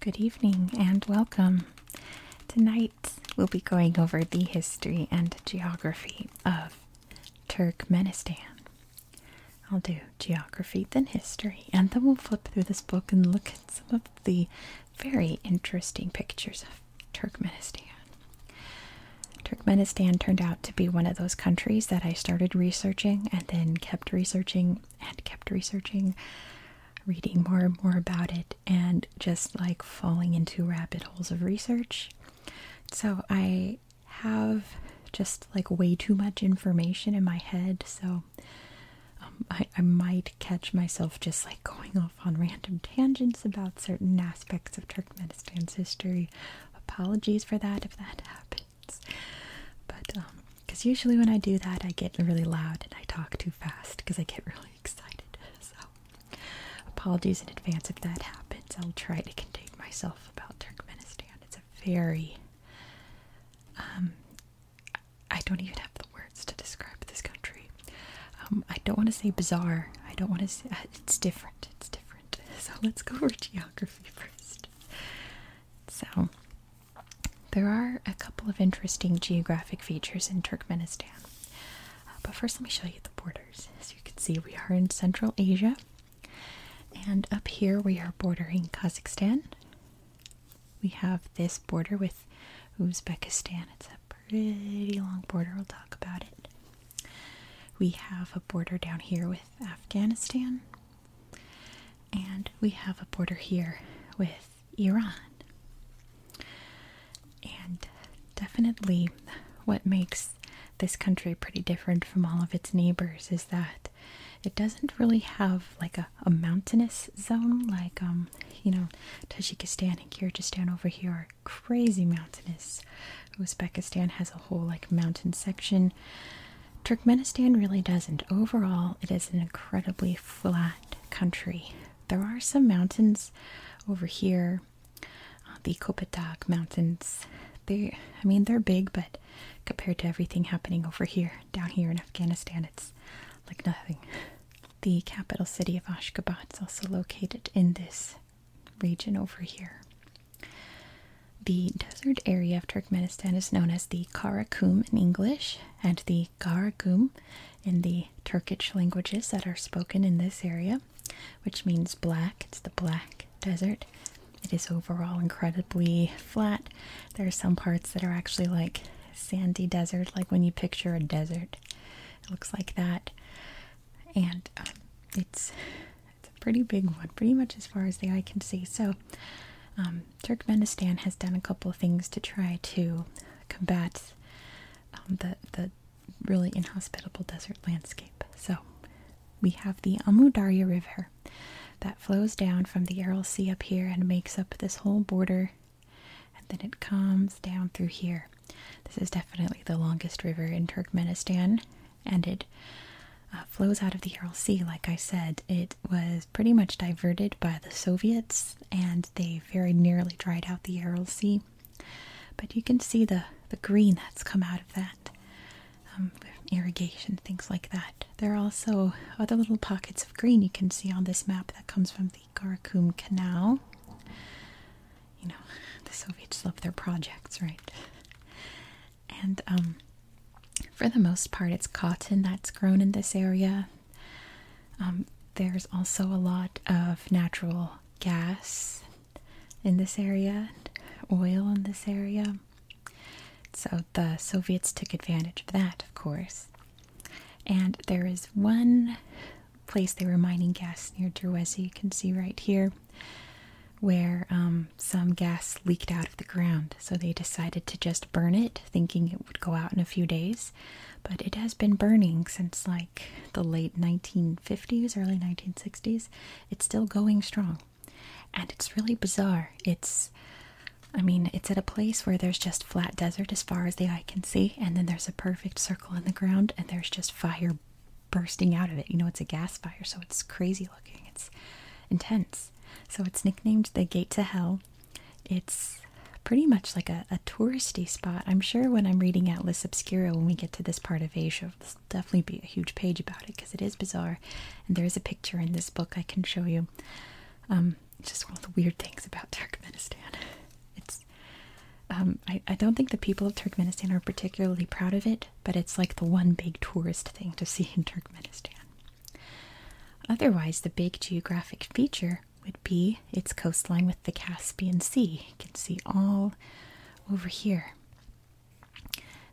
Good evening and welcome. Tonight we'll be going over the history and geography of Turkmenistan. I'll do geography, then history, and then we'll flip through this book and look at some of the very interesting pictures of Turkmenistan. Turkmenistan turned out to be one of those countries that I started researching and then kept researching and kept researching, reading more and more about it, and just like falling into rabbit holes of research. So I have just like way too much information in my head, so um, I might catch myself just like going off on random tangents about certain aspects of Turkmenistan's history Apologies for that if that happens. But, um, because usually when I do that, I get really loud and I talk too fast because I get really excited. So, apologies in advance if that happens. I'll try to contain myself about Turkmenistan. It's a very, um, I don't even have the words to describe this country. Um, I don't want to say bizarre. I don't want to say, uh, it's different. It's different. So let's go over geography first. So, there are a couple of interesting geographic features in Turkmenistan. Uh, but first, let me show you the borders. As you can see, we are in Central Asia. And up here, we are bordering Kazakhstan. We have this border with Uzbekistan. It's a pretty long border, we'll talk about it. We have a border down here with Afghanistan, and we have a border here with Iran. And definitely, what makes this country pretty different from all of its neighbors is that it doesn't really have like a, mountainous zone like um you know Tajikistan and Kyrgyzstan over here crazy mountainous. Uzbekistan has a whole like mountain section. Turkmenistan really doesn't. Overall, it is an incredibly flat country. There are some mountains over here, uh, the Kopatak Mountains. They, I mean, they're big, but compared to everything happening over here, down here in Afghanistan, it's like nothing. The capital city of Ashgabat is also located in this region over here. The desert area of Turkmenistan is known as the Karakum in English and the Garakum in the Turkish languages that are spoken in this area, which means black. It's the black desert. It is overall incredibly flat. There are some parts that are actually like sandy desert, like when you picture a desert. It looks like that. And um, it's it's a pretty big one, pretty much as far as the eye can see. So, um, Turkmenistan has done a couple things to try to combat um, the the really inhospitable desert landscape. So, we have the Amudarya River that flows down from the Aral Sea up here and makes up this whole border, and then it comes down through here. This is definitely the longest river in Turkmenistan, and it uh, flows out of the Ural Sea. Like I said, it was pretty much diverted by the Soviets, and they very nearly dried out the Ural Sea. But you can see the the green that's come out of that, um, irrigation, things like that. There are also other little pockets of green you can see on this map that comes from the Karakum Canal you know, the Soviets love their projects, right? And um, for the most part, it's cotton that's grown in this area. Um, there's also a lot of natural gas in this area, oil in this area. So the Soviets took advantage of that, of course. And there is one place they were mining gas near Druezi, you can see right here where um, some gas leaked out of the ground. So they decided to just burn it, thinking it would go out in a few days. But it has been burning since like the late 1950s, early 1960s. It's still going strong. And it's really bizarre. It's, I mean, it's at a place where there's just flat desert as far as the eye can see, and then there's a perfect circle in the ground, and there's just fire bursting out of it. You know, it's a gas fire, so it's crazy looking. It's intense. So it's nicknamed the Gate to Hell. It's pretty much like a, touristy spot. I'm sure when I'm reading Atlas Obscura, when we get to this part of Asia, there'll definitely be a huge page about it because it is bizarre. And there is a picture in this book I can show you. Um, just one of the weird things about Turkmenistan. It's um, I, I don't think the people of Turkmenistan are particularly proud of it but it's like the one big tourist thing to see in Turkmenistan. Otherwise, the big geographic feature would be its coastline with the Caspian Sea. You can see all over here.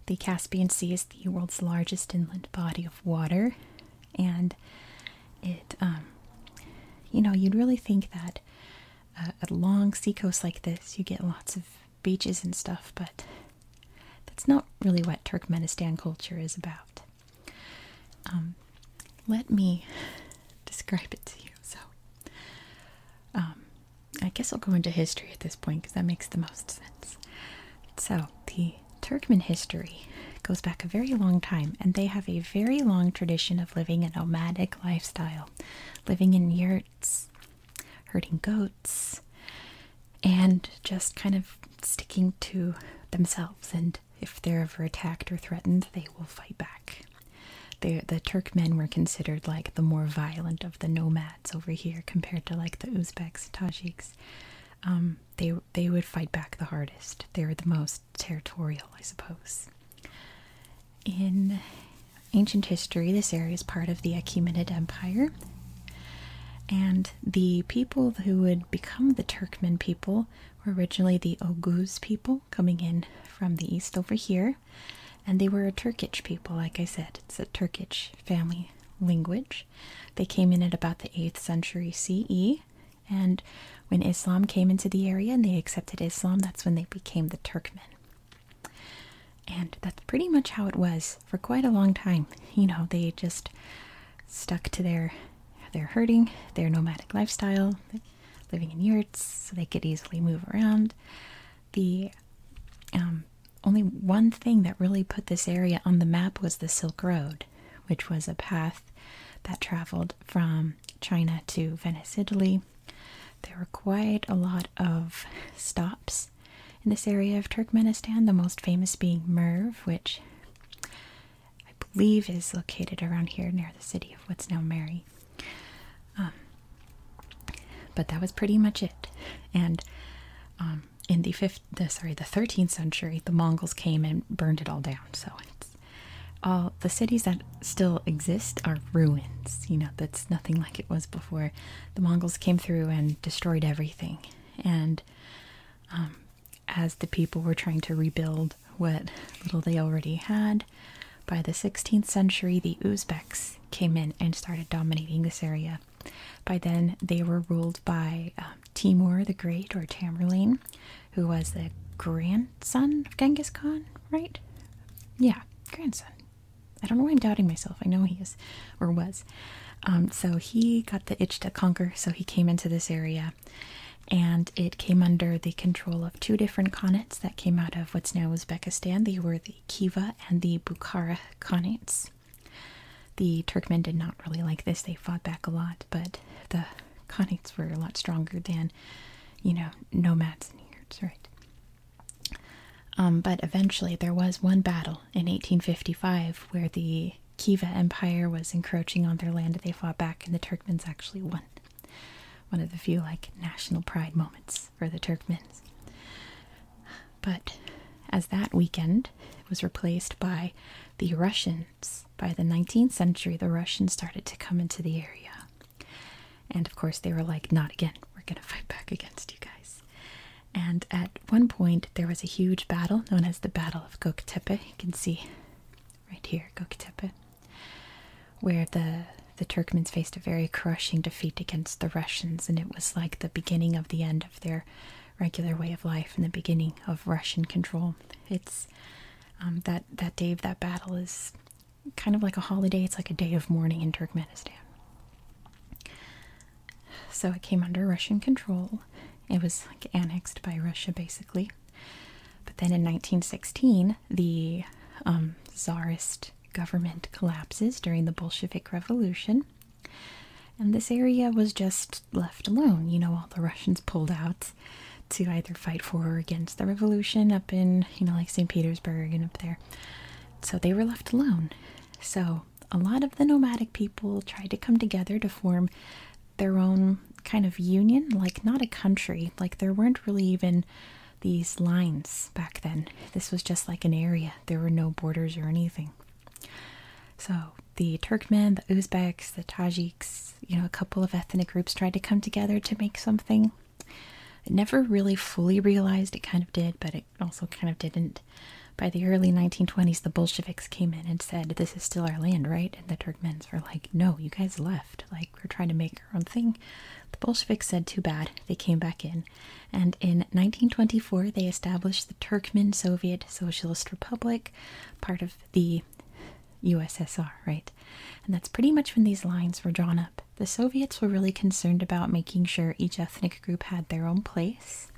The Caspian Sea is the world's largest inland body of water, and it, um, you know, you'd really think that uh, a long seacoast like this, you get lots of beaches and stuff, but that's not really what Turkmenistan culture is about. Um, let me describe it to you. So, um, I guess I'll go into history at this point because that makes the most sense. So, the Turkmen history goes back a very long time, and they have a very long tradition of living a nomadic lifestyle, living in yurts, herding goats, and just kind of sticking to themselves. And if they're ever attacked or threatened, they will fight back. the Turkmen were considered like the more violent of the nomads over here compared to like the Uzbeks, Tajiks. Um, they they would fight back the hardest. They were the most territorial, I suppose in ancient history, this area is part of the Achaemenid Empire, and the people who would become the Turkmen people were originally the Oguz people coming in from the east over here, and they were a Turkic people, like I said, it's a Turkic family language. They came in at about the 8th century CE. And when Islam came into the area and they accepted Islam, that's when they became the Turkmen. And that's pretty much how it was for quite a long time. You know, they just stuck to their their herding, their nomadic lifestyle, living in yurts so they could easily move around. The um, only one thing that really put this area on the map was the Silk Road, which was a path that traveled from China to Venice, Italy, there were quite a lot of stops in this area of Turkmenistan, the most famous being Merv, which I believe is located around here near the city of what's now Mary. Um, but that was pretty much it. And um, in the fifth, sorry, the 13th century, the Mongols came and burned it all down. So all the cities that still exist are ruins. You know, the nothing like it was before. The Mongols came through and destroyed everything. And um, as the people were trying to rebuild what little they already had, by the 16th century, the Uzbeks came in and started dominating this area. By then, they were ruled by um, Timur the Great or Tamerlane, who was the grandson of Genghis Khan, right? Yeah, grandson. I don't know why I'm doubting myself. I know he is or was. Um, so he got the itch to conquer, so he came into this area and it came under the control of two different khanates that came out of what's now Uzbekistan. They were the Kiva and the Bukhara khanates. The Turkmen did not really like this. They fought back a lot, but the khanates were a lot stronger than, you know, nomads and Arabs, right? Um, but eventually, there was one battle in 1855 where the Kiva Empire was encroaching on their land. They fought back, and the Turkmens actually won. One of the few like national pride moments for the Turkmen. But as that weekend was replaced by the Russians, by the 19th century, the Russians started to come into the area. And of course, they were like, not again. We're going to fight back against you guys. And at one point, there was a huge battle known as the Battle of Göktepe. You can see right here, Göktepe, where the the Turkmens faced a very crushing defeat against the Russians, and it was like the beginning of the end of their regular way of life and the beginning of Russian control. It's um, that that day of that battle is kind of like a holiday. It's like a day of mourning in Turkmenistan. So it came under Russian control. It was like annexed by Russia basically. But then in 1916, the um, Tsarist government collapses during the Bolshevik Revolution. And this area was just left alone. You know, all the Russians pulled out to either fight for or against the revolution up in, you know, like St. Petersburg and up there. So they were left alone. So, a lot of the nomadic people tried to come together to form their own kind of union, like not a country, like there weren't really even these lines back then. This was just like an area, there were no borders or anything. So, the Turkmen, the Uzbeks, the Tajiks, you know, a couple of ethnic groups tried to come together to make something. It never really fully realized it kind of did, but it also kind of didn't. By the early 1920s, the Bolsheviks came in and said, This is still our land, right? And the Turkmens were like, No, you guys left. Like, we're trying to make our own thing. The Bolsheviks said, Too bad. They came back in. And in 1924, they established the Turkmen Soviet Socialist Republic, part of the USSR, right? And that's pretty much when these lines were drawn up. The Soviets were really concerned about making sure each ethnic group had their own place,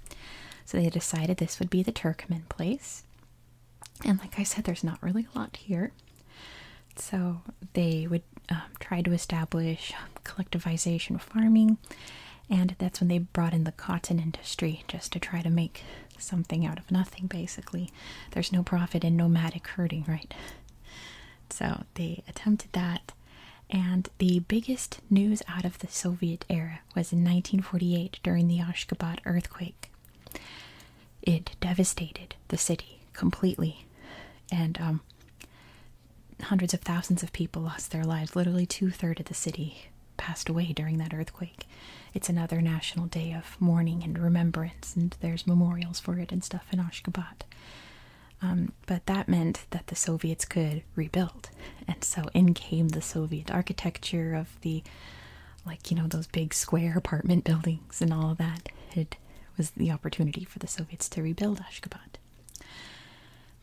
so they decided this would be the Turkmen place. And like I said, there's not really a lot here. So they would um, try to establish collectivization of farming, and that's when they brought in the cotton industry just to try to make something out of nothing, basically. There's no profit in nomadic herding, right? So they attempted that, and the biggest news out of the Soviet era was in 1948 during the Ashgabat earthquake. It devastated the city completely, and um, hundreds of thousands of people lost their lives. Literally two thirds of the city passed away during that earthquake. It's another national day of mourning and remembrance, and there's memorials for it and stuff in Ashgabat. Um, but that meant that the Soviets could rebuild. And so in came the Soviet architecture of the, like, you know, those big square apartment buildings and all of that. It was the opportunity for the Soviets to rebuild Ashgabat.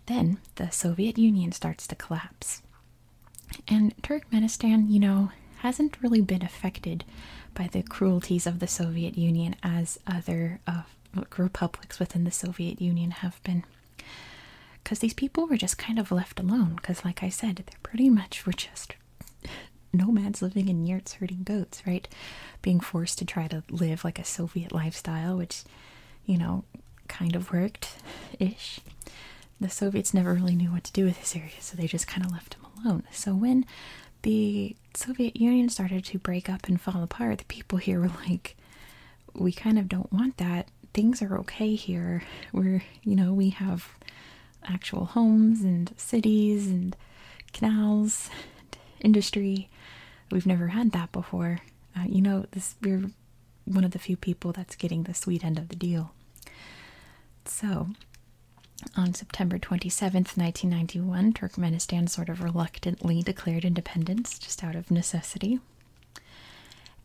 Then the Soviet Union starts to collapse. And Turkmenistan, you know, hasn't really been affected by the cruelties of the Soviet Union as other of what republics within the Soviet Union have been. Because these people were just kind of left alone. Because, like I said, they're pretty much were just nomads living in yurts herding goats, right? Being forced to try to live like a Soviet lifestyle, which, you know, kind of worked ish. The Soviets never really knew what to do with this area, so they just kind of left them alone. So, when the Soviet Union started to break up and fall apart, the people here were like, we kind of don't want that. Things are okay here. We're, you know, we have actual homes and cities and canals and industry. We've never had that before. Uh, you know, this we're one of the few people that's getting the sweet end of the deal. So, on September 27th, 1991, Turkmenistan sort of reluctantly declared independence just out of necessity.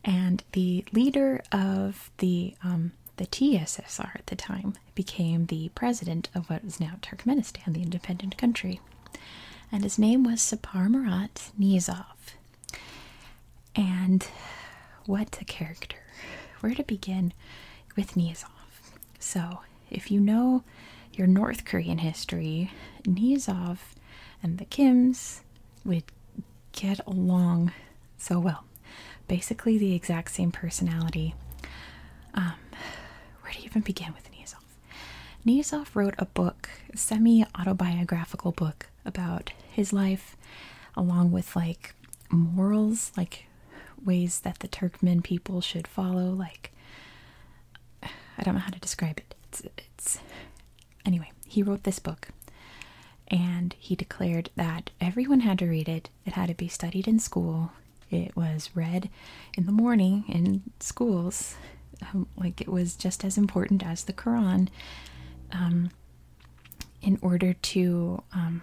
And the leader of the um, the TSSR at the time became the president of what is now Turkmenistan, the independent country. And his name was Sapar Murat Niyazov. And what a character. Where to begin with Niyazov? So, if you know your North Korean history, Nizov and the Kims would get along so well. Basically, the exact same personality. Um, where you even begin with Niyazov? Niyazov wrote a book, semi autobiographical book, about his life, along with like morals, like ways that the Turkmen people should follow, like I don't know how to describe it. It's, anyway, he wrote this book and he declared that everyone had to read it. It had to be studied in school. It was read in the morning in schools. Um, like it was just as important as the Quran um, in order to um,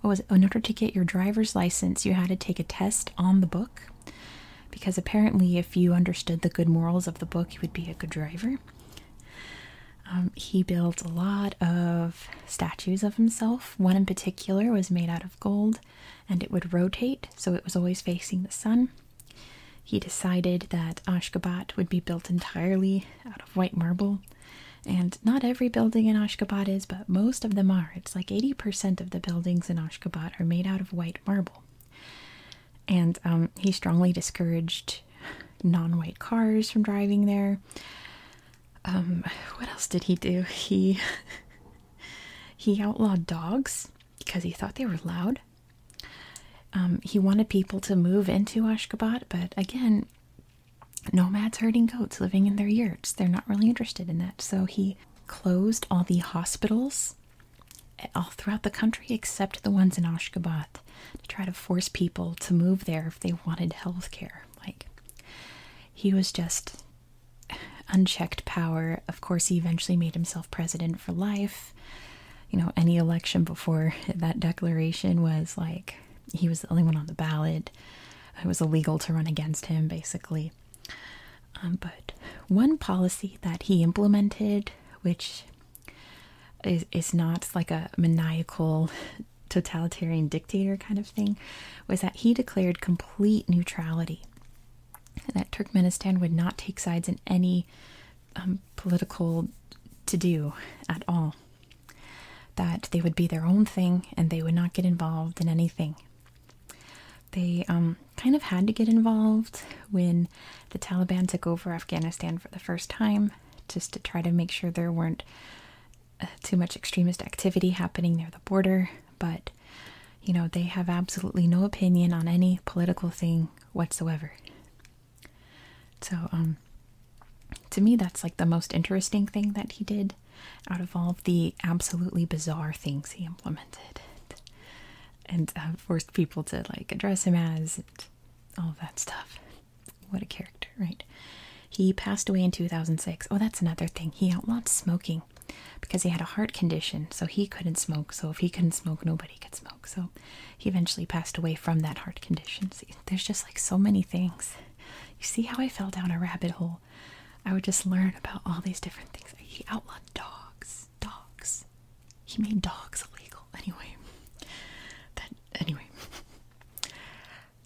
what was in order to get your driver's license you had to take a test on the book because apparently, if you understood the good morals of the book, you would be a good driver. Um, he built a lot of statues of himself. One in particular was made out of gold and it would rotate, so it was always facing the sun. He decided that Ashgabat would be built entirely out of white marble. And not every building in Ashgabat is, but most of them are. It's like 80% of the buildings in Ashgabat are made out of white marble. And um, he strongly discouraged non white cars from driving there. Um, what else did he do? He. He outlawed dogs because he thought they were loud. Um, he wanted people to move into Ashgabat, but again, nomads herding goats living in their yurts, they're not really interested in that. So he closed all the hospitals all throughout the country except the ones in Ashgabat to try to force people to move there if they wanted health care. Like, he was just unchecked power. Of course, he eventually made himself president for life. You know, any election before that declaration was like he was the only one on the ballot. It was illegal to run against him, basically. Um, but one policy that he implemented, which is, not like a maniacal totalitarian dictator kind of thing, was that he declared complete neutrality. That Turkmenistan would not take sides in any um, political to do at all. That they would be their own thing and they would not get involved in anything. They um, kind of had to get involved when the Taliban took over Afghanistan for the first time, just to try to make sure there weren't uh, too much extremist activity happening near the border. But, you know, they have absolutely no opinion on any political thing whatsoever. So, um, to me, that's like the most interesting thing that he did out of all of the absolutely bizarre things he implemented and uh, forced people to like address him as and all that stuff. What a character, right? He passed away in 2006. Oh, that's another thing. He outlawed smoking because he had a heart condition, so he couldn't smoke. So if he couldn't smoke, nobody could smoke. So he eventually passed away from that heart condition. See, there's just like so many things. You see how I fell down a rabbit hole? I would just learn about all these different things. He outlawed dogs dogs. He made dogs illegal. Anyway, that anyway.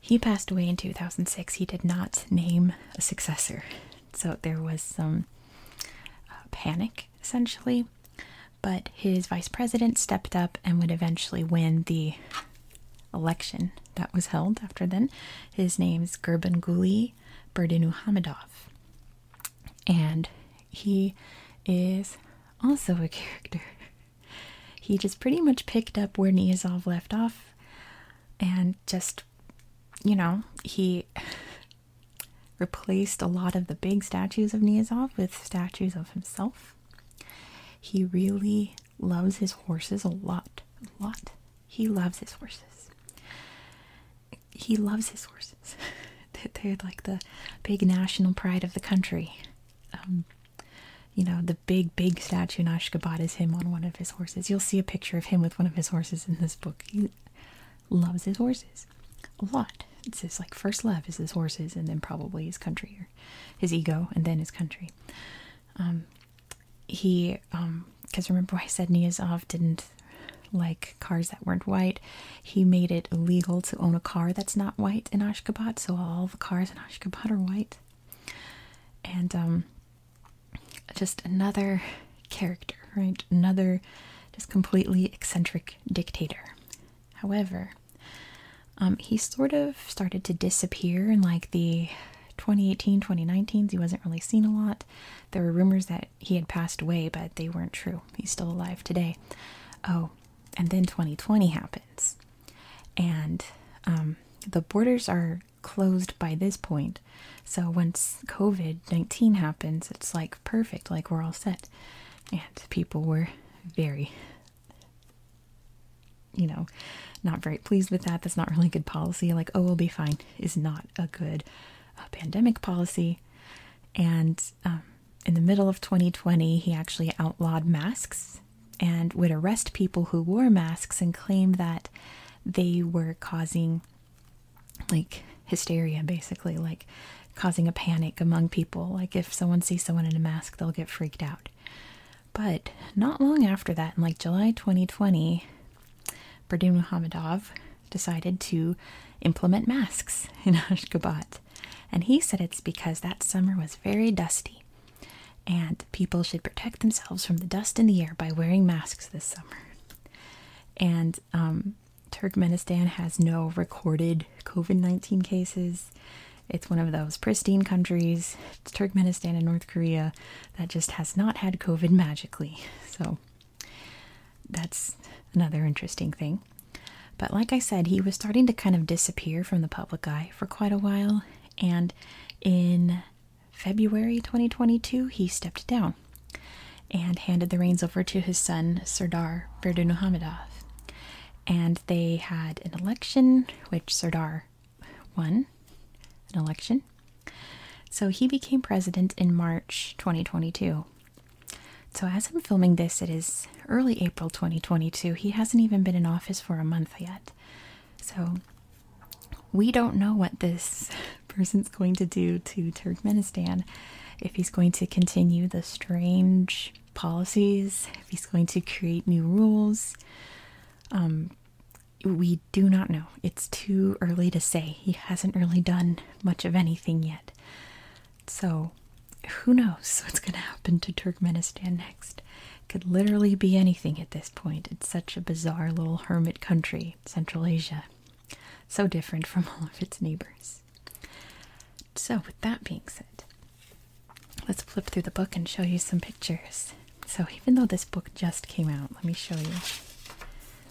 He passed away in 2006. He did not name a successor. So there was some uh, panic essentially, but his vice president stepped up and would eventually win the election that was held after then. His name's Gurbanguly Berdimuhamedov and he is also a character. he just pretty much picked up where Niazov left off and just, you know, he replaced a lot of the big statues of Niazov with statues of himself. He really loves his horses a lot. A lot. He loves his horses. He loves his horses. They're like the big national pride of the country. Um, you know, the big, big statue in Ashgabat is him on one of his horses. You'll see a picture of him with one of his horses in this book. He loves his horses a lot. It's his like first love is his horses, and then probably his country or his ego, and then his country. Um, he, because um, I said Sedniazov didn't like cars that weren't white. He made it illegal to own a car that's not white in Ashgabat, so all the cars in Ashgabat are white. And um, just another character, right? Another just completely eccentric dictator. However, um, he sort of started to disappear in like the 2018 2019s. He wasn't really seen a lot. There were rumors that he had passed away, but they weren't true. He's still alive today. Oh, and then 2020 happens. And um, the borders are closed by this point. So once COVID 19 happens, it's like perfect, like we're all set. And people were very, you know, not very pleased with that. That's not really good policy. Like, oh, we'll be fine, is not a good uh, pandemic policy. And um, in the middle of 2020, he actually outlawed masks and would arrest people who wore masks and claim that they were causing like hysteria, basically, like causing a panic among people. Like if someone sees someone in a mask, they'll get freaked out. But not long after that, in like July 2020, Berdyn Muhammadov decided to implement masks in Ashgabat. And he said it's because that summer was very dusty and people should protect themselves from the dust in the air by wearing masks this summer. And um, Turkmenistan has no recorded COVID 19 cases. It's one of those pristine countries, Turkmenistan and North Korea, that just has not had COVID magically. So that's another interesting thing. But like I said, he was starting to kind of disappear from the public eye for quite a while, and in February 2022, he stepped down and handed the reins over to his son, Sardar Berdimuhamedov. And they had an election, which Sardar won an election. So he became president in March 2022. So, as I'm filming this, it is early April 2022. He hasn't even been in office for a month yet. So, we don't know what this person's going to do to Turkmenistan. If he's going to continue the strange policies, if he's going to create new rules. Um, we do not know. It's too early to say. He hasn't really done much of anything yet. So, who knows what's going to happen to Turkmenistan next? Could literally be anything at this point. It's such a bizarre little hermit country, Central Asia. So different from all of its neighbors. So, with that being said, let's flip through the book and show you some pictures. So, even though this book just came out, let me show you.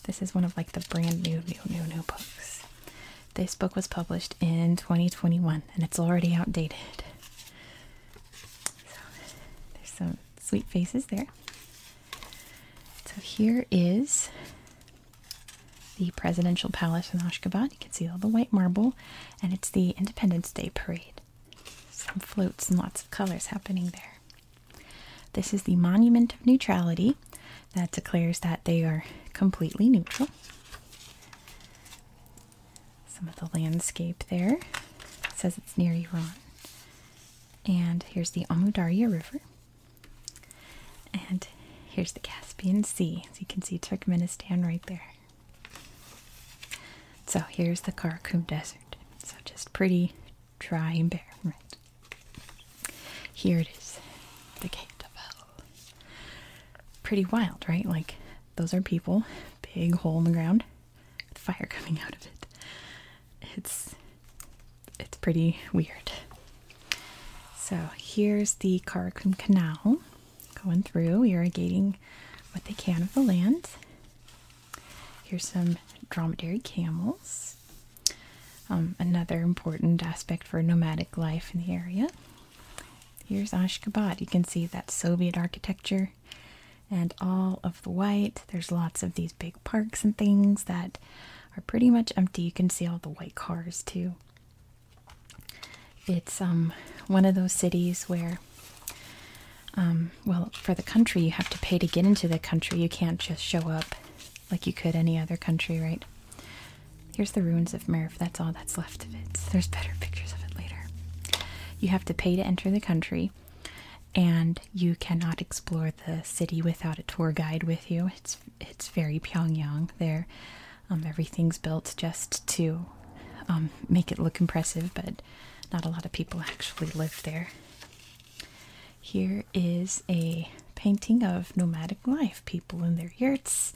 This is one of like the brand new, new, new, new books. This book was published in 2021 and it's already outdated. So there's some sweet faces there. So here is the presidential palace in Ashgabat. You can see all the white marble and it's the Independence Day parade. Some floats and lots of colors happening there. This is the Monument of Neutrality that declares that they are completely neutral. Some of the landscape there says it's near Iran. And here's the Amudarya River. And here's the Caspian Sea. As you can see Turkmenistan right there. So here's the Karakum Desert. So just pretty dry and bare, right? Here it is, the gate of hell. Pretty wild, right? Like, those are people, big hole in the ground, fire coming out of it. It's it's pretty weird. So here's the Karakum Canal going through, irrigating what they can of the land. Here's some dromedary camels. Um, another important aspect for nomadic life in the area. Here's Ashgabat. You can see that Soviet architecture and all of the white. There's lots of these big parks and things that are pretty much empty. You can see all the white cars too. It's um, one of those cities where um, well for the country you have to pay to get into the country. You can't just show up like you could any other country, right? Here's the ruins of Merv. That's all that's left of it. There's better pictures of it later. You have to pay to enter the country, and you cannot explore the city without a tour guide with you. It's it's very Pyongyang there. Um, everything's built just to um, make it look impressive, but not a lot of people actually live there. Here is a painting of nomadic life, people in their yurts,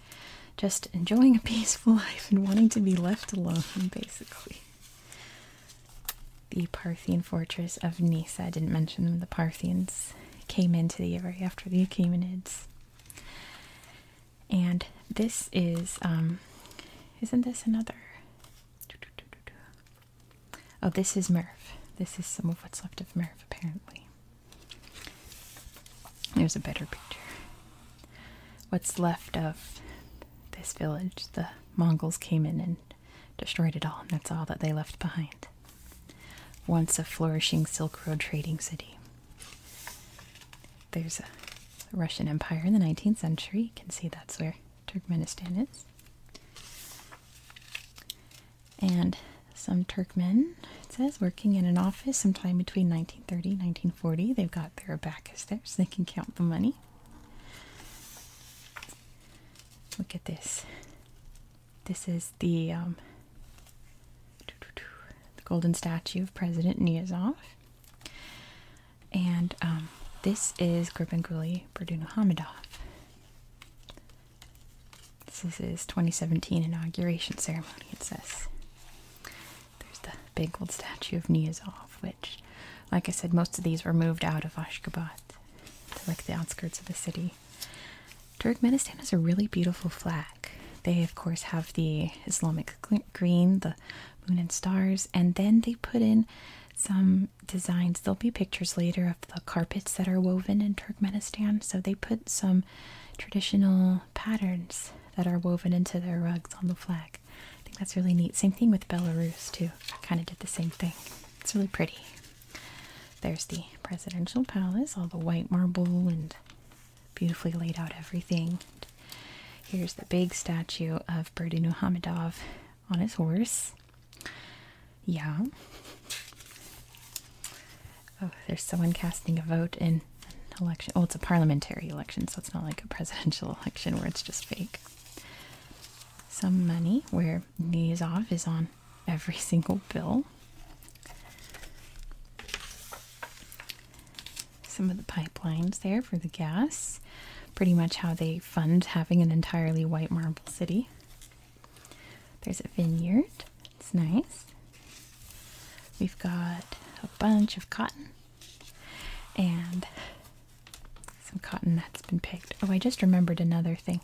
just enjoying a peaceful life and wanting to be left alone, basically. The Parthian fortress of Nisa. I didn't mention them, the Parthians came into the area after the Achaemenids. And this is, um, isn't this another? Oh, this is Merv. This is some of what's left of Merv, apparently. There's a better picture. What's left of this village, the Mongols came in and destroyed it all, and that's all that they left behind. Once a flourishing Silk Road trading city. There's a Russian Empire in the 19th century. You can see that's where Turkmenistan is and some Turkmen, it says, working in an office sometime between 1930 1940. They've got their abacus there so they can count the money. Look at this. This is the, um, the golden statue of President Niyazov. And um, this is Gurbanguly Berdimuhamedov. This is 2017 inauguration ceremony, it says. There's the big old statue of Niyazov, which, like I said, most of these were moved out of Ashgabat to like the outskirts of the city. Turkmenistan has a really beautiful flag. They, of course, have the Islamic green, the moon and stars, and then they put in some designs. There'll be pictures later of the carpets that are woven in Turkmenistan. So they put some traditional patterns that are woven into their rugs on the flag. I think that's really neat. Same thing with Belarus, too. I kind of did the same thing. It's really pretty. There's the presidential palace, all the white marble and beautifully laid out everything. Here's the big statue of Berdimuhamedov on his horse. Yeah. Oh, there's someone casting a vote in an election. Oh, it's a parliamentary election, so it's not like a presidential election where it's just fake. Some money where off is on every single bill. Some of the pipelines there for the gas. Pretty much how they fund having an entirely white marble city. There's a vineyard. It's nice. We've got a bunch of cotton and some cotton that's been picked. Oh, I just remembered another thing.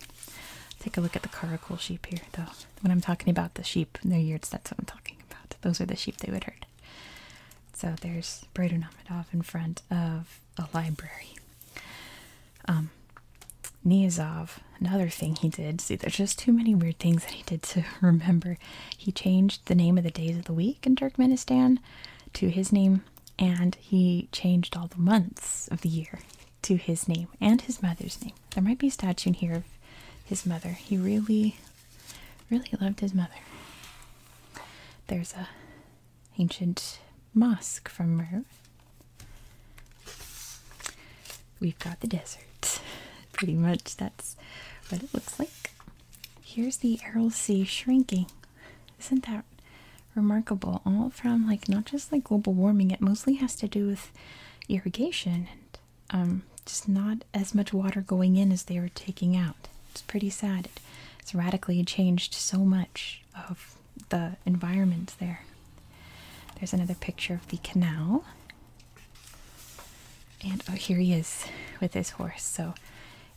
Take a look at the coracle sheep here, though. When I'm talking about the sheep and their yards, that's what I'm talking about. Those are the sheep they would herd. So there's Bradunamadov in front of a library. Um, Niazov, another thing he did. See, there's just too many weird things that he did to remember. He changed the name of the days of the week in Turkmenistan to his name, and he changed all the months of the year to his name and his mother's name. There might be a statue in here of his mother. He really, really loved his mother. There's a ancient mosque from Merv. We've got the desert. Pretty much that's what it looks like. Here's the Aral Sea shrinking. Isn't that remarkable? All from like not just like global warming, it mostly has to do with irrigation and um just not as much water going in as they were taking out. It's pretty sad. It's radically changed so much of the environment there. There's another picture of the canal. And oh, here he is with his horse. So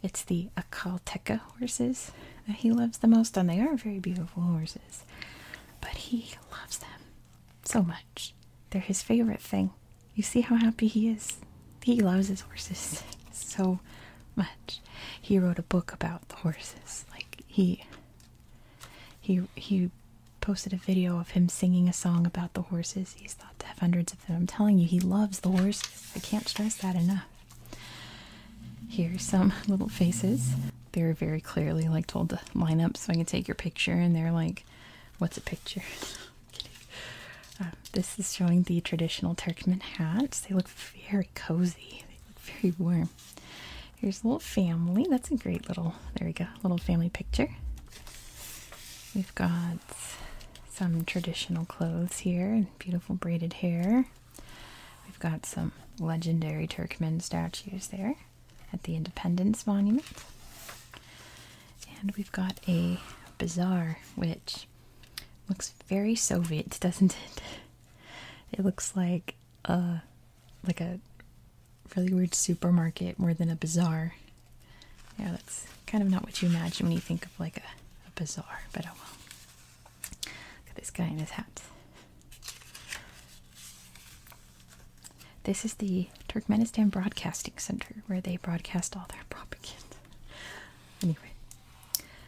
it's the Acalteca horses that he loves the most, and they are very beautiful horses. But he loves them so much. They're his favorite thing. You see how happy he is? He loves his horses so much. He wrote a book about the horses. Like, he he he posted a video of him singing a song about the horses. He's thought to have hundreds of them. I'm telling you, he loves the horses. I can't stress that enough. Here's some little faces. They're very clearly like told to line up so I can take your picture, and they're like, "What's a picture?" Um, this is showing the traditional Turkmen hats. They look very cozy. They look very warm. Here's a little family. That's a great little, there we go, little family picture. We've got some traditional clothes here and beautiful braided hair. We've got some legendary Turkmen statues there at the Independence Monument. And we've got a bazaar, which looks very Soviet, doesn't it? It looks like a like a really weird supermarket more than a bazaar. Yeah, that's kind of not what you imagine when you think of like a, bazaar, but oh well. Look at this guy in his hat. This is the Turkmenistan Broadcasting Center where they broadcast all their propaganda. Anyway,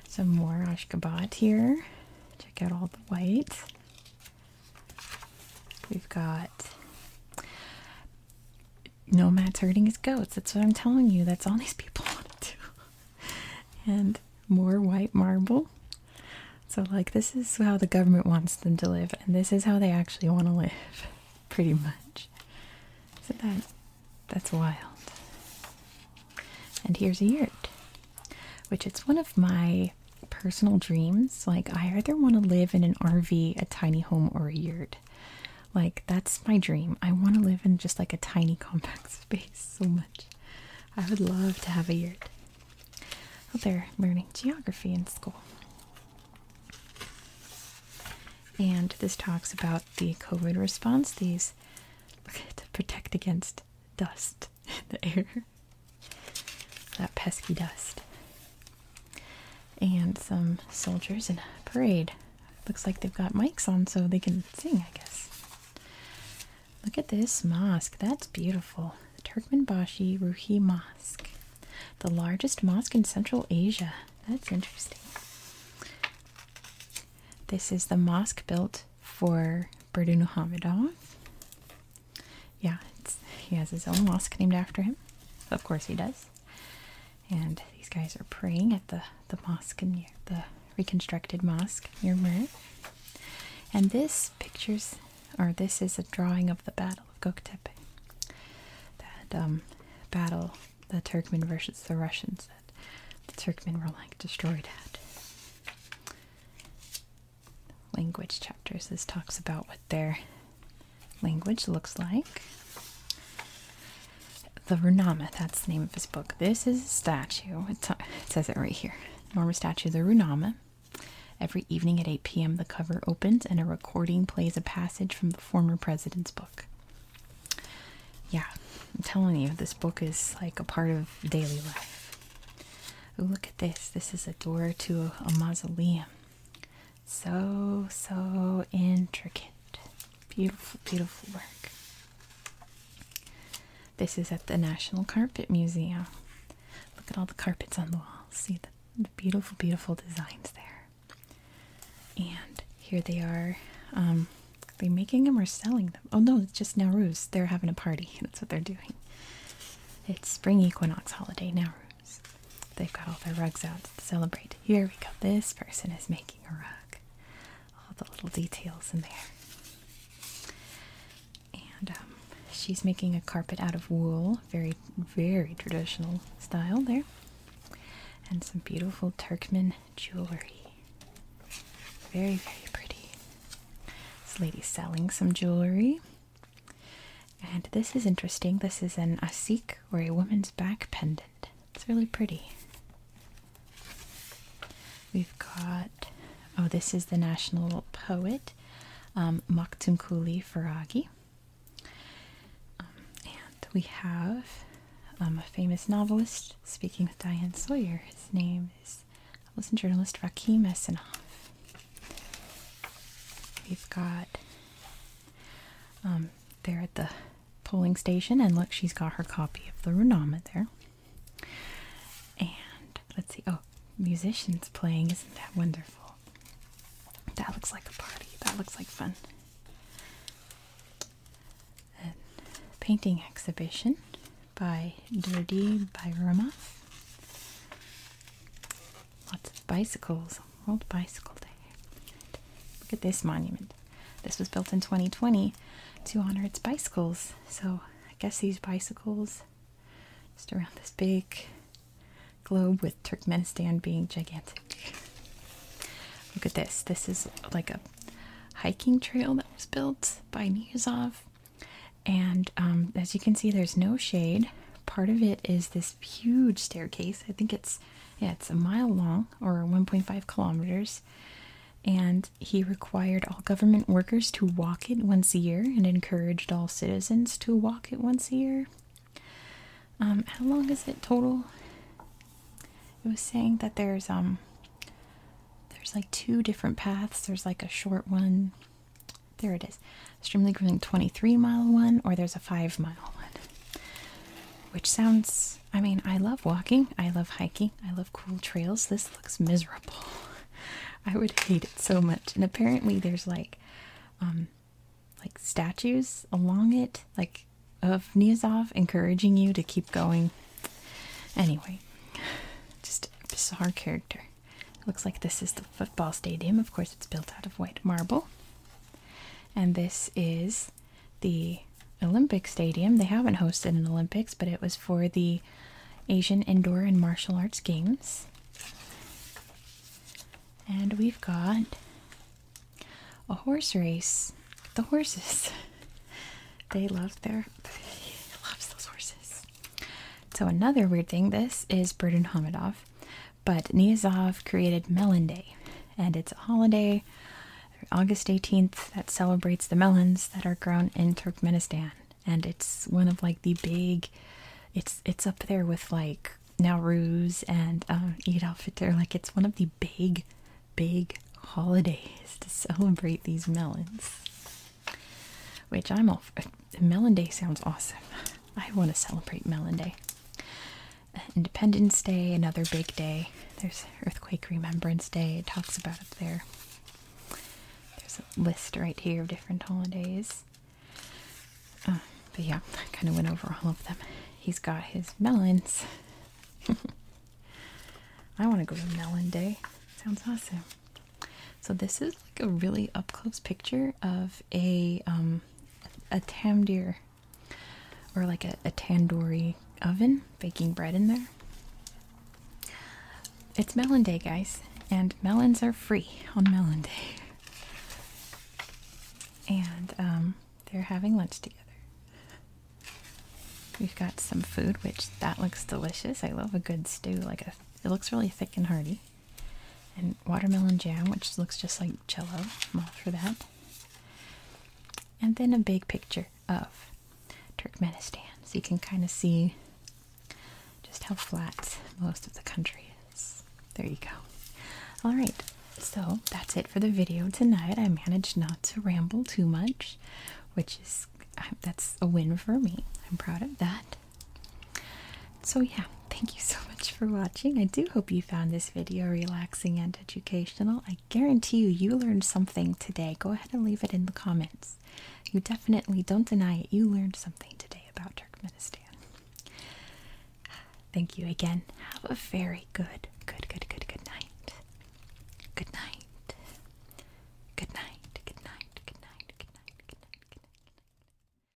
some more Ashgabat here. Check out all the white. We've got Nomad's herding his goats. That's what I'm telling you. That's all these people want to do. And more white marble. So, like, this is how the government wants them to live, and this is how they actually want to live, pretty much. So that that's wild. And here's a yurt, which it's one of my personal dreams. Like, I either want to live in an RV, a tiny home, or a yurt. Like, that's my dream. I want to live in just like a tiny compact space so much. I would love to have a yurt. Oh, they're learning geography in school. And this talks about the COVID response, these to protect against dust. the air, that pesky dust, and some soldiers in a parade. Looks like they've got mics on so they can sing, I guess. Look at this mosque. That's beautiful. The Turkmenbashi Ruhi Mosque. The largest mosque in Central Asia. That's interesting. This is the mosque built for Berdun yeah, he has his own mosque named after him. Of course he does. And these guys are praying at the the mosque near the reconstructed mosque near Murray. And this pictures, or this is a drawing of the Battle of Goktepe. That um, battle, the Turkmen versus the Russians, that the Turkmen were like destroyed at language chapters. This talks about what their language looks like. The Runama, that's the name of his book. This is a statue. it says it right here. Norma statue, the Runama. Every evening at 8 p.m., the cover opens and a recording plays a passage from the former president's book. Yeah, I'm telling you, this book is like a part of daily life. look at this. This is a door to a mausoleum. So, so intricate. Beautiful, beautiful work. This is at the National Carpet Museum. Look at all the carpets on the walls. See the, beautiful, beautiful designs there. And here they are. Um, are making them or selling them? Oh no, it's just Nowruz. They're having a party. That's what they're doing. It's spring equinox holiday, Nowruz. They've got all their rugs out to celebrate. Here we go. This person is making a rug. All the little details in there. And um, she's making a carpet out of wool. Very, very traditional style there. And some beautiful Turkmen jewelry. Very, very pretty. This lady's selling some jewelry. And this is interesting. This is an asik or a woman's back pendant. It's really pretty. We've got, oh, this is the national poet, um, Maktumkuli Faragi. Um, and we have um, a famous novelist speaking with Diane Sawyer. His name is novelist and journalist Rakim Esenov. We've got um, there at the polling station, and look, she's got her copy of the Renama there. And let's see, oh, musicians playing, isn't that wonderful? That looks like a party, that looks like fun. A painting exhibition by by Bayramov. Lots of bicycles. World Bicycle Day. Look at this monument. This was built in 2020 to honor its bicycles. So I guess these bicycles, just around this big globe with Turkmenistan being gigantic. Look at this. This is like a hiking trail that was built by Niyazov. And um, as you can see, there's no shade part of it is this huge staircase. I think it's yeah, it's a mile long or 1.5 kilometers. And he required all government workers to walk it once a year and encouraged all citizens to walk it once a year. Um, how long is it total? It was saying that there's um there's like two different paths. There's like a short one there it is. Extremely grueling 23 mile one, or there's a five mile one. Which sounds, I mean, I love walking, I love hiking, I love cool trails. This looks miserable. I would hate it so much. And apparently there's like, um, like statues along it, like of Niazov encouraging you to keep going. Anyway, just a bizarre character. Looks like this is the football stadium. Of course, it's built out of white marble. And this is the Olympic Stadium. They haven't hosted an Olympics, but it was for the Asian Indoor and Martial Arts Games. And we've got a horse race. The horses. they love their loves those horses. So another weird thing, this is Burton Hamidov. But Niyazov created Melon Day, and it's a holiday, August 18th, that celebrates the melons that are grown in Turkmenistan. And it's one of like the big, it's it's up there with like Nowruz and uh, Eid al Fitr. Like it's one of the big, big holidays to celebrate these melons, which I'm all for. Melon Day sounds awesome. I want to celebrate Melon Day. Uh, Independence Day, another big day. There's Earthquake Remembrance Day, it talks about up there. There's a list right here of different holidays. Uh, but yeah, I kind of went over all of them. He's got his melons. I want to go to Melon Day. Sounds awesome. So this is like a really up close picture of a um, a tamdir or like a, tandoori oven baking bread in there. It's melon day, guys, and melons are free on melon day. And um, they're having lunch together. We've got some food, which that looks delicious. I love a good stew. Like a, it looks really thick and hearty and watermelon jam, which looks just like jello. I'm all for that. And then a big picture of Turkmenistan. So you can kind of see just how flat most of the country is. There you go. All right. So that's it for the video tonight. I managed not to ramble too much, which is that's a win for me. I'm proud of that. So yeah, thank you so much for watching. I do hope you found this video relaxing and educational. I guarantee you, you learned something today. Go ahead and leave it in the comments. You definitely don't deny it. You learned something today about Turkmenistan. Thank you again. Have a very good, good, good, good, good night. Good night. Good night. Good night. Good night. Good night. Good night. Good night.